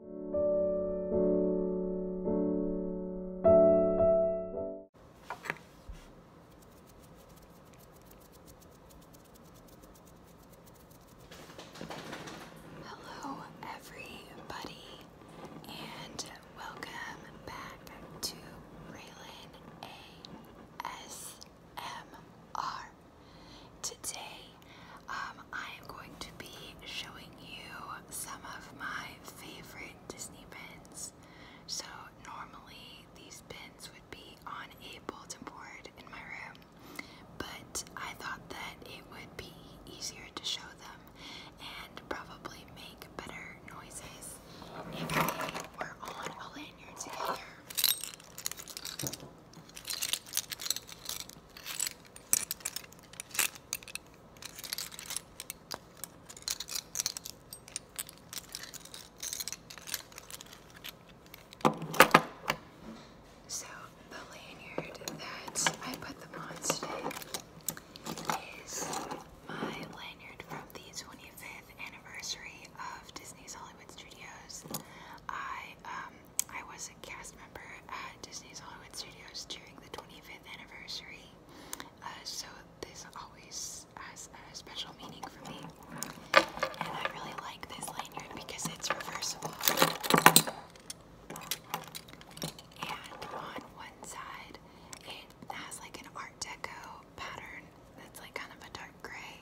Hello, everybody, and welcome back to Raylan ASMR. Today, um, I am going to be showing you some of my favorite Disney pins. So, normally these pins would be on a bulletin board in my room, but I thought that it would be easier to show them and probably make better noises if they were on a lanyard together. So the lanyard that I put them on today is my lanyard from the 25th anniversary of Disney's Hollywood Studios. I um, I was a cast member at Disney's Hollywood Studios during the 25th anniversary, uh, so this always has a special meaning for me. And I really like this lanyard because it's reversible. And on one side, it has like an Art Deco pattern that's like kind of a dark gray.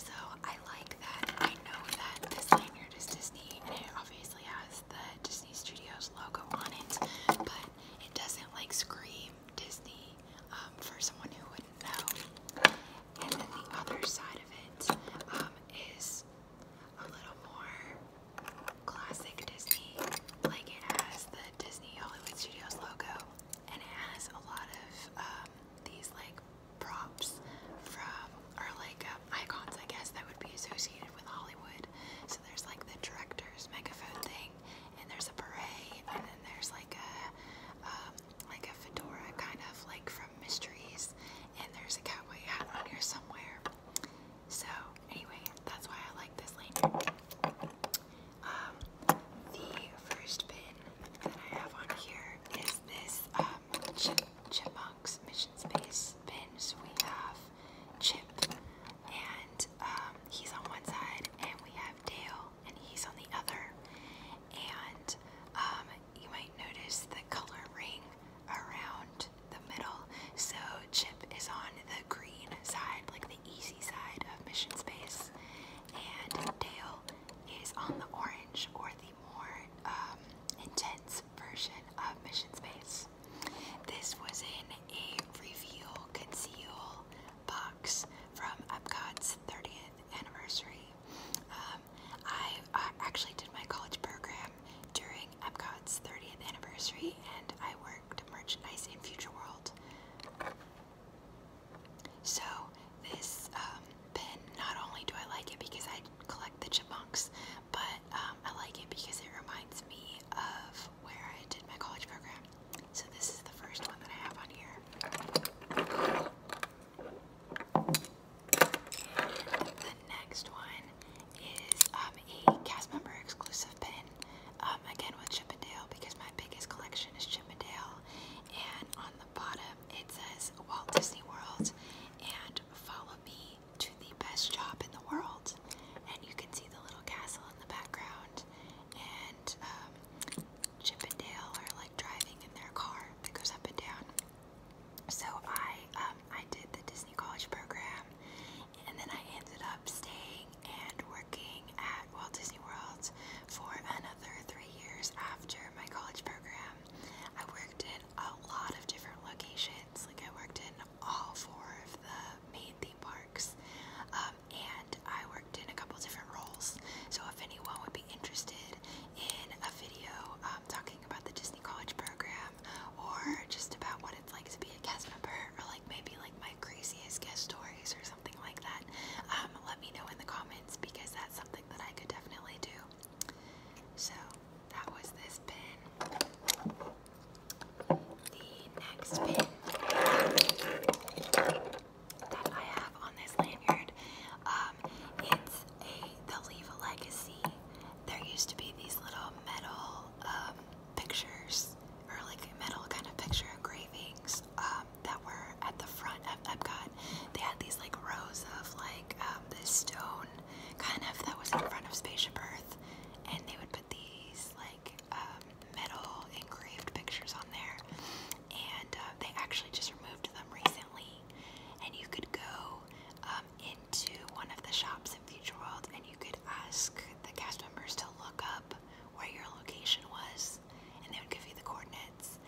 So I like that. I know that this lanyard is Disney and it obviously has has the Disney Studios logo on it, but it doesn't like scream Disney um, for someone who wouldn't know. And then the other side of it um, is a little more classic Disney. Like it has the Disney Hollywood Studios logo, and it has a lot of um, these like props from or like um, icons, I guess, that would be associated with Hollywood. So there's like the director's megaphone thing, and there's a beret, and then there's like a um, like a fedora, kind of like from Mysteries, and there's a cowboy hat on here somewhere. So anyway, that's why I like this lanyard. Um, the first pin that I have on here is this um, mission space bins. We have Chip, and um, he's on one side, and we have Dale, and he's on the other. And um, you might notice the color ring around the middle. So Chip is on the green side, like the easy side of mission space, and Dale is on the orange or the more um, intense version of mission space. This was in a reveal conceal box from Epcot's 30th anniversary. Um, I, actually did my college program during Epcot's 30th anniversary and I worked merchandise in Future World. So this um, pin, not only do I like it because I collect the chipmunks, but um, um, I like it because it reminds me of where I did my college program. So this is the first one that I have on here. The next one is um, a cast member exclusive pin. Um, again with Chip and Dale because my biggest collection is Chip and Dale. And on the bottom it says Walt Disney World and follow me to the best job in the world. And you can see the little castle in the background, and um, Chip and Dale are like driving in their car that goes up and down. So I, um, I did the Disney College program, and then I ended up staying and working at Walt Disney World for another three years after my college program. I worked in a lot of different locations. Like I worked in all four of the main theme parks, um, and I worked in a couple different roles. So if anyone would be interested in a video um, talking about the Disney College program, or just about what it's like to be a cast member, or like maybe like my craziest guest stories or something like that, um, let me know in the comments because that's something that I could definitely do. So that was this pin. The next pin that I have on this lanyard, um, it's a the Leave a Legacy. There used to be these little metal um, pictures, or like metal kind of picture engravings um, that were at the front of got They had these like rows of like um, this stone kind of that was in front of Spaceship Earth, and they would put these like um, metal engraved pictures on there, and uh, they actually just removed them recently. And you could go um, into one of the shops in Future World, and you could ask the cast members to look up where your location was, and they would give you the coordinates.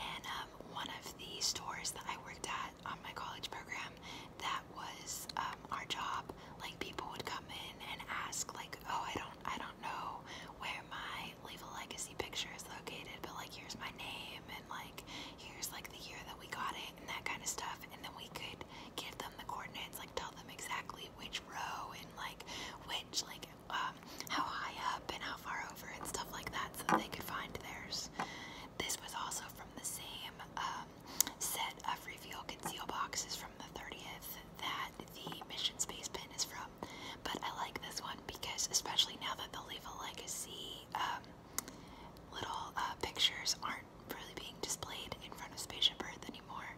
And um, one of the stores that I worked at on my college program, that was um, our job. Like people would come in and ask, like, "Oh, I don't, I don't know where my Leave a Legacy picture is located, but like, here's my name, and like, here's like the year that we got it, and that kind of stuff." And then we could give them the coordinates, like tell them exactly which row and like which like um, how high up and how far over and stuff like that, so that they could find theirs. This was also from the same um, set of reveal conceal boxes from the 30th that the Mission Space pin is from. But I like this one because, especially now that the Leave Legacy um, little uh, pictures aren't really being displayed in front of Spaceship Earth anymore,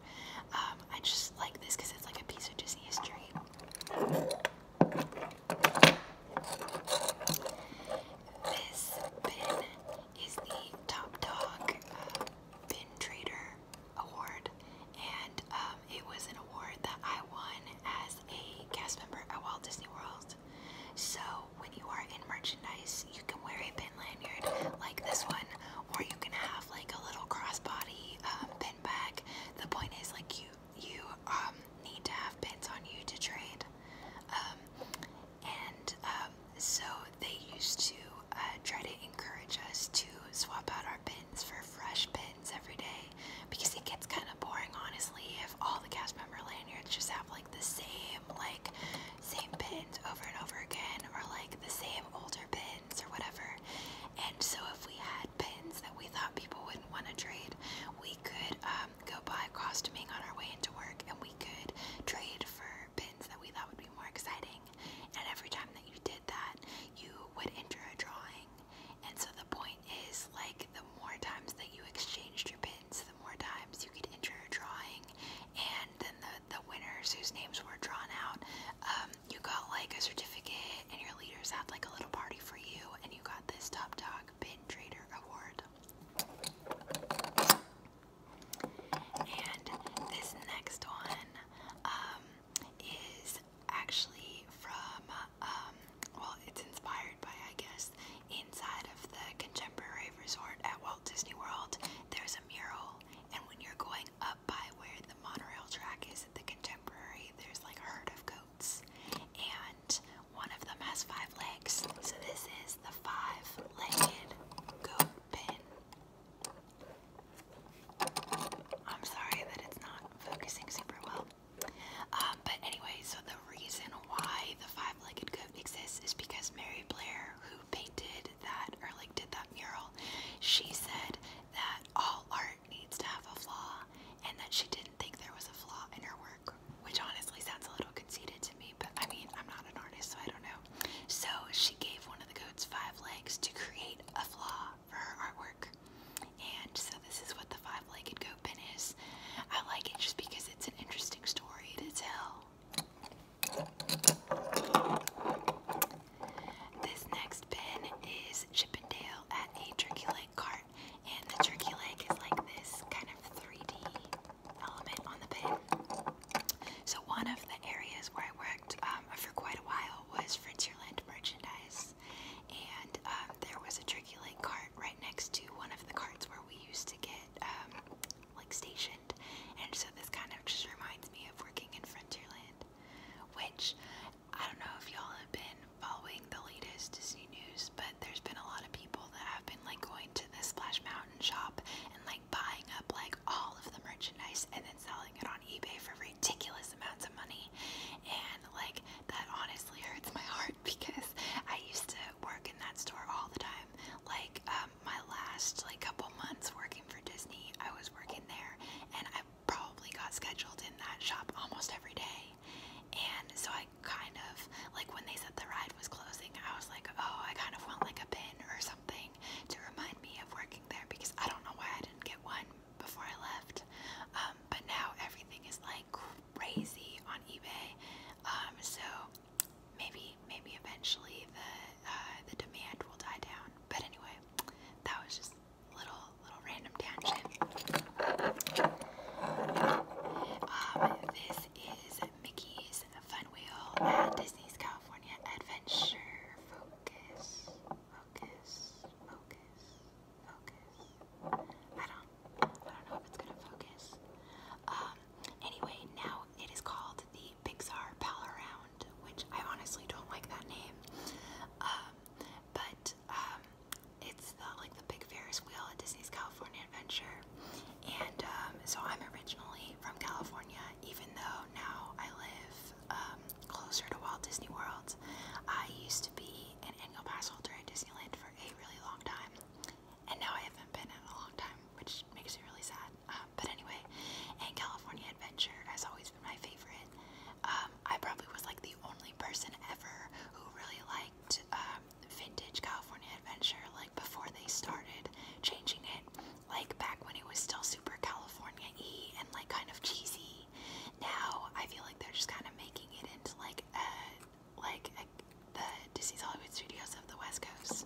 um, I just like this because it's like a piece of Disney history. This pin is the Top Dog uh, Bin Trader Award, and um, it was an award that I won as a cast member at Walt Disney World. So when you are in merchandise, you can wear a pin lanyard like this one, or you can have like a little crossbody pin um, bag. The point is, like you you um, need to have pins on you to trade. Um, and um, so they used to uh, try to encourage us to swap out our pins for fresh pins every day because it gets kind of boring honestly if all the cast member lanyards just have like the same like same pins over and over again or like the same older pins or whatever and so if we had pins that we thought people wouldn't want to trade we could um, go buy costuming on our way into work and we could trade for pins that we thought would be more exciting. And every time that you did that, you would enter a drawing. And so the point is, like, the more times that you exchanged your pins, the more times you could enter a drawing. And then the, the winners whose names were drawn out, um, you got like a certificate, and your leaders had like a little party for you, and you got this Top Dog Pin Trader Award. And this next one um, is actually from, um, well, it's inspired by, I guess, inside of the Contemporary Resort at Walt Disney World. There's a mural, and when you're going up by where the monorail track is at the Contemporary, there's like a herd of goats, and one of them has five legs. So this is the five-legged goat. I'm sorry that it's not focusing super well. Um, but anyway, so the reason why the five-legged goat exists is because Mary Blair, who painted that or did that mural, she said that all art needs to have a flaw and that she didn't think there was a flaw in her work, which honestly sounds a little Conceded to me, but I mean, I'm not an artist, so I don't know. So she gave one of the goats five legs to create a flaw for her artwork. And so this is what the five-legged goat pin is. I like it just because it's an interesting story to tell. This next pin is Chippendale at a Turkey Leg cart. And the turkey leg is like this kind of 3D element on the pin. So one of the areas where I worked um, for quite a while was Frontierland merchandise, and um, there was a Turkey Lake cart right next to one of the carts where we used to get um, like stationed, and so this kind of just reminds me of working in Frontierland, which I don't know if y'all have been following the latest Disney news, but there's been a lot of people that have been like going to the Splash Mountain shop and like like buying up like all of the merchandise and then selling it on eBay for ridiculous amounts of money. And like that honestly hurts my heart because I used to work in that store all the time. Like um, my last like couple months working for Disney, I was working there and I probably got scheduled in that shop almost every day. And so I kind of like when they said the ride was closing, I was like, oh, I kind of want like a pin or something to remind me of working there because I don't know why I didn't get one before I left. Um, but now everything is like crazy on eBay. Um, so maybe maybe eventually the uh, the demand will die down. But anyway, that was just little little random tangent. Um, this is Mickey's Fun Wheel at Disney's California Adventure. Focus, focus, focus, focus. I don't, I don't know if it's gonna focus. Um, anyway, now it is called the Pixar Pal which I honestly don't like that name. Um, but um, it's the, like the big Ferris wheel at Disney's California Adventure, and um, so I'm originally from California, even though now I live um, closer to Walt Disney World. I used to be an annual pass holder at Disneyland for a really long time, and now I haven't been in a long time, which makes me really sad. Um, but anyway, and California Adventure has always been my favorite. I probably was like the only person ever who really liked vintage California Adventure, like before they started changing it, like back when it was still super California E and like kind of cheesy. Now I feel like they're just kind of making it into like a, like a, the Disney's Hollywood Studios of the West Coast.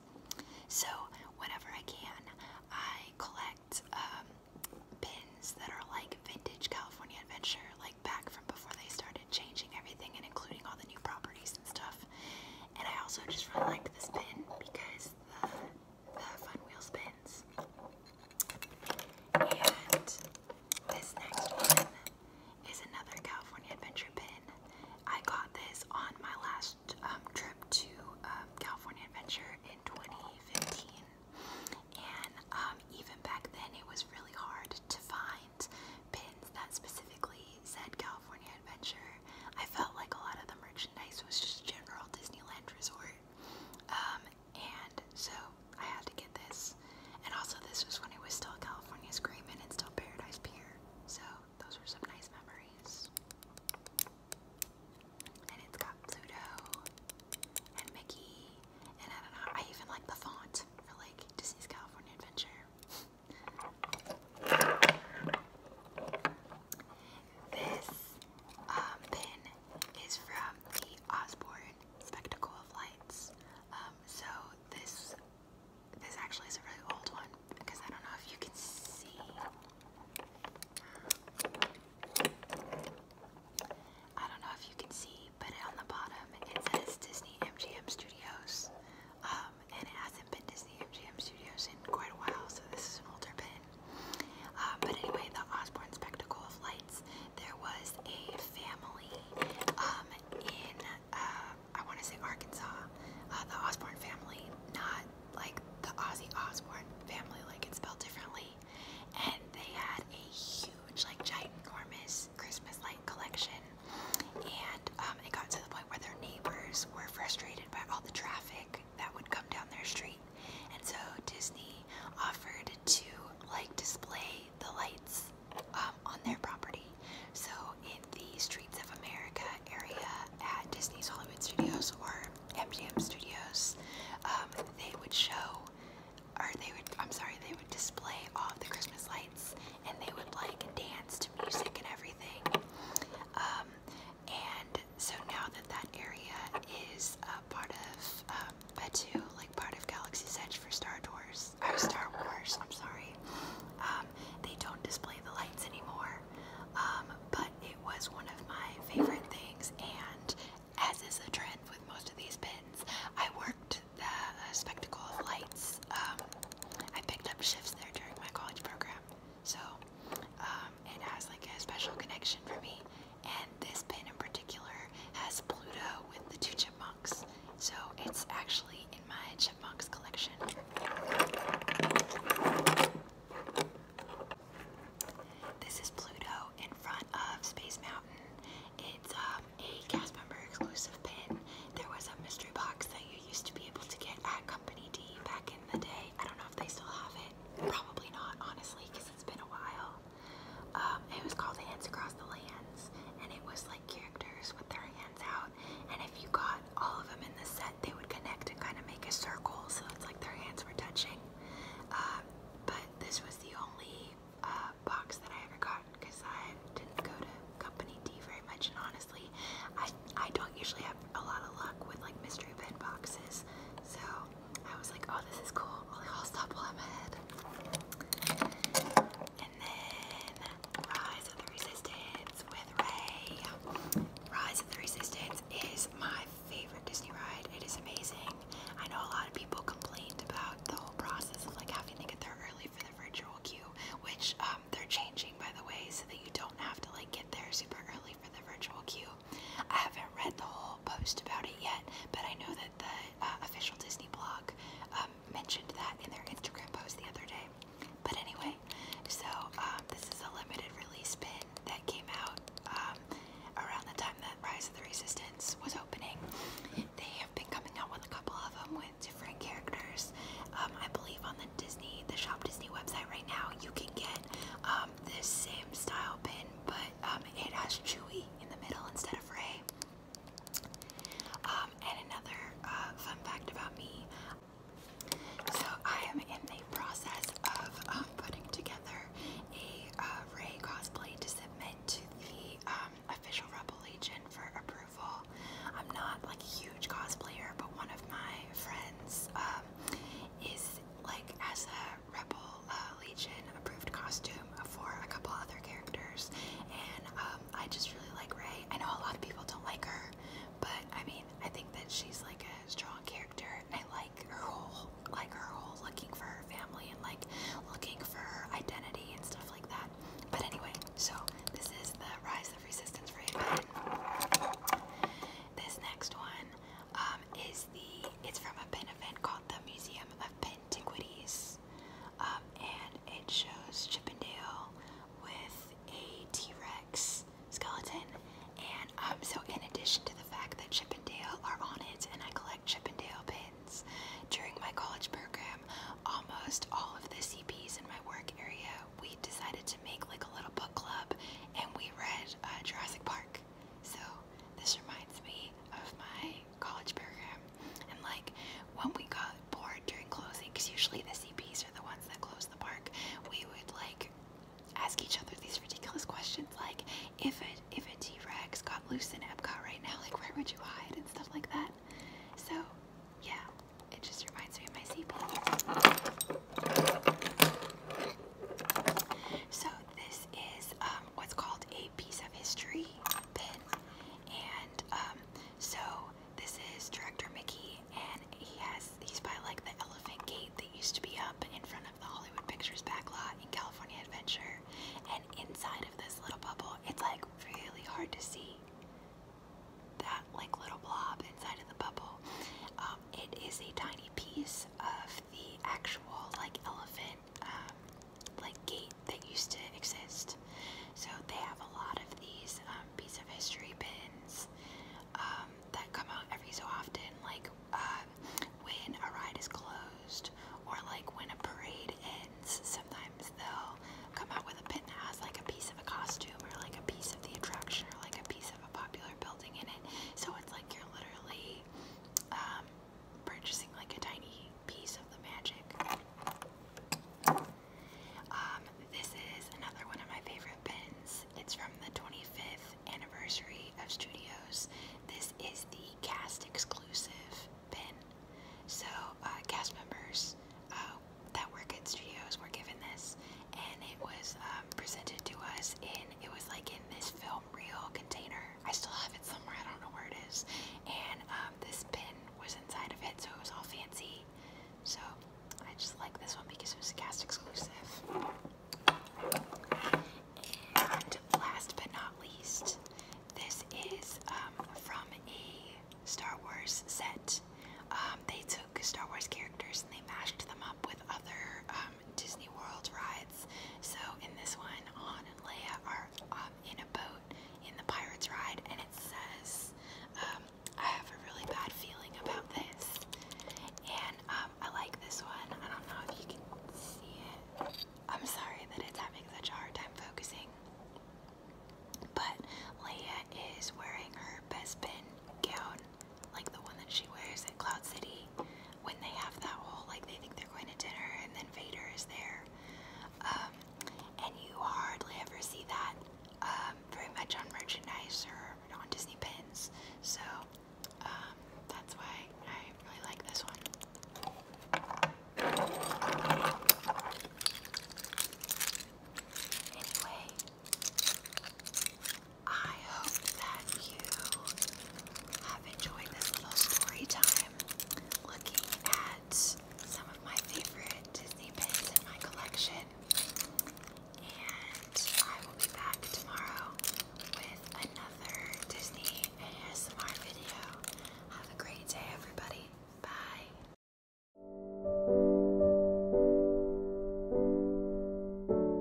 So whenever I can, I collect um, pins that are like vintage California Adventure, like back from before they started changing everything and including all the new properties and stuff. And I also just really like this pin because the uh, Fun Wheel Spins. And this next one is another California Adventure pin. I got this on my last um, trip to um, California Adventure in 2015. And um, even back then, it was really hard to find pins that specifically sad California adventure. I felt like a lot of the merchandise was just general Disneyland resort. Um, and so I had to get this. And also, this was when it was still California Screamin' and still Paradise Pier. So, those were some nice memories. And it's got Pluto and Mickey. And I don't know, I even like the font for like Disney's California Adventure. This um, pin is from the Osborne Spectacle of Lights. Um, so this this actually is a really old one because I don't know if you can see. I don't know if you can see, but on the bottom it says Disney MGM Studios. Um, and it hasn't been Disney MGM Studios in quite a while, so this is an older pin. Um, but anyway, the Osborne Spectacle of Lights, there was a family um, in, uh, I want to say Arkansas, uh, the Osborne family, not like the Ozzy Osborne family, like it's spelled differently. And they had a huge, like giant, ginormous Christmas light collection. And um, it got to the point where their neighbors were frustrated by all the traffic that would come down their street. And so Disney offered to like display the lights um, on their property. So in the Streets of America area at Disney's Hollywood Studios or MGM Studios, um, they would show, or they would, I'm sorry, they would display all the Christmas lights and they would like dance to music and everything. Um, and so now that that area is uh, part of um, Betu, like part of Galaxy's Edge for Star Wars, or Star Wars, I'm sorry, um, they don't display the lights anymore. Um, but it was one of my favorite things, and as is the trend with most of these pins, I worked the uh, spectacle of lights. Um, I picked up shifts there during my college program, so um, it has like a special connection for me. And this pin in particular has Pluto with the two chipmunks. So it's actually in my chipmunks collection. This is Pluto in front of Space Mountain. It's um, a cast member exclusive pin. There was a mystery box that you used to be able to get at company LED back in the day. I don't know if they still have it. Probably not, honestly, because it's been a while. Um, it was called Hands Across the Lands, and it was like characters with their hands out. And if you got all of them in the set, they would connect and kind of make a circle, so it's like their hands were touching. Uh, but this was the only uh, box that I ever got because I didn't go to Company D very much, and honestly, I I don't usually have a lot of luck with like mystery bin boxes. So I was like, oh, this is cool. I'll stop while I'm ahead. And then Rise of the Resistance with Ray. Rise of the Resistance is my favorite Disney ride. It is amazing. I know a lot of people complained about the whole process of like having to get there early for the virtual queue, which um, they're changing by the way, so that you don't have to like get there super early for the virtual queue. I haven't read the whole post about it yet, but I know that the uh, official Disney blog um, mentioned that in their Instagram post the other day. But anyway, so um, this is a limited release pin that came out um, around the time that Rise of the Resistance was opening. They have been coming out with a couple of them with different characters. I believe on the Disney, the Shop Disney website right now, you can get um, this same style pin, but um, it has Chewy in the middle instead of Ray. Um, and another uh, fun fact about me. So I am in the process of putting together a uh, cosplay to submit to the official Rebel Legion for approval. I'm not like a huge cosplayer, but one of my friends is like as a Rebel uh, Legion approved costume for a couple other characters, and um, I just really like Rey. I know a lot of people don't like her, but I mean, I think that she's like a strong character, I like her whole, like her whole looking for her family and like looking for her identity and stuff like that. But anyway, so this is the Rise of Resistance for this next one um, is the, it's from a pin event called the Museum of Antiquities, um, and it shows Chippendale with a T-Rex skeleton. And um, so in addition to the fact that Chippendale are on it and I collect Chippendale pins, during my college program, almost all of the CPs in my work area, we we decided to make like a little book club and we read uh, Jurassic Park. So this reminds me of my college program. And like when we got bored during closing, because usually the CPs are the ones that close the park, we would like ask each other these ridiculous questions like if a, if a T-Rex got loose in Epcot right now, like where would you hide and stuff like that. So yeah, it just reminds me of my CP. So this is um, what's called a piece of history pin, and um, so this is Director Mickey, and he has he's by like the Elephant Gate that used to be up in front of the Hollywood Pictures backlot in California Adventure, and inside of this little bubble, it's like really hard to see that like little blob inside of the bubble. Um, it is a tiny piece of the actual like elephant um, like gate that used to exist. So they have a lot of these um, piece of history pins um, that come out every so often, like uh, when a ride is closed or like when a parade ends. Sometimes they'll come out with a pin that has like a piece of a costume or like a piece of the attraction or like a piece a popular building in it. So it's like you're literally um, purchasing like a tiny piece of the magic. Um, this is another one of my favorite pins. It's from the 25th anniversary of Studios. This is the cast exclusive pin. So uh, cast members uh, that work at Studios were given this and it was um, presented to us in it was like in this film reel container. I still have it somewhere. I don't know where it is. And um, this pin was inside of it, so it was all fancy. So I just like this one because it was a cast exclusive. And last but not least, this is um, from a Star Wars set. they took Star Wars characters and they mashed them up with other Disney World rides. So in this one, Han and Leia are um, in a boat in the Pirates ride, and it says, um, I have a really bad feeling about this. And um, I like this one. I don't know if you can see it. I'm sorry that it's having such a hard time focusing. But Leia is wearing her best pin gown like the one that she wears at Cloud City, when they have that whole like they think they're going to dinner and then Vader is there, um, and you hardly ever see that um, very much on merchandise or on Disney pins. So um, that's why I really like this one. Anyway, I hope that you have enjoyed this little story time looking at some of my favorite Disney pins in my collection. And I will be back tomorrow with another Disney ASMR video. Have a great day, everybody. Bye.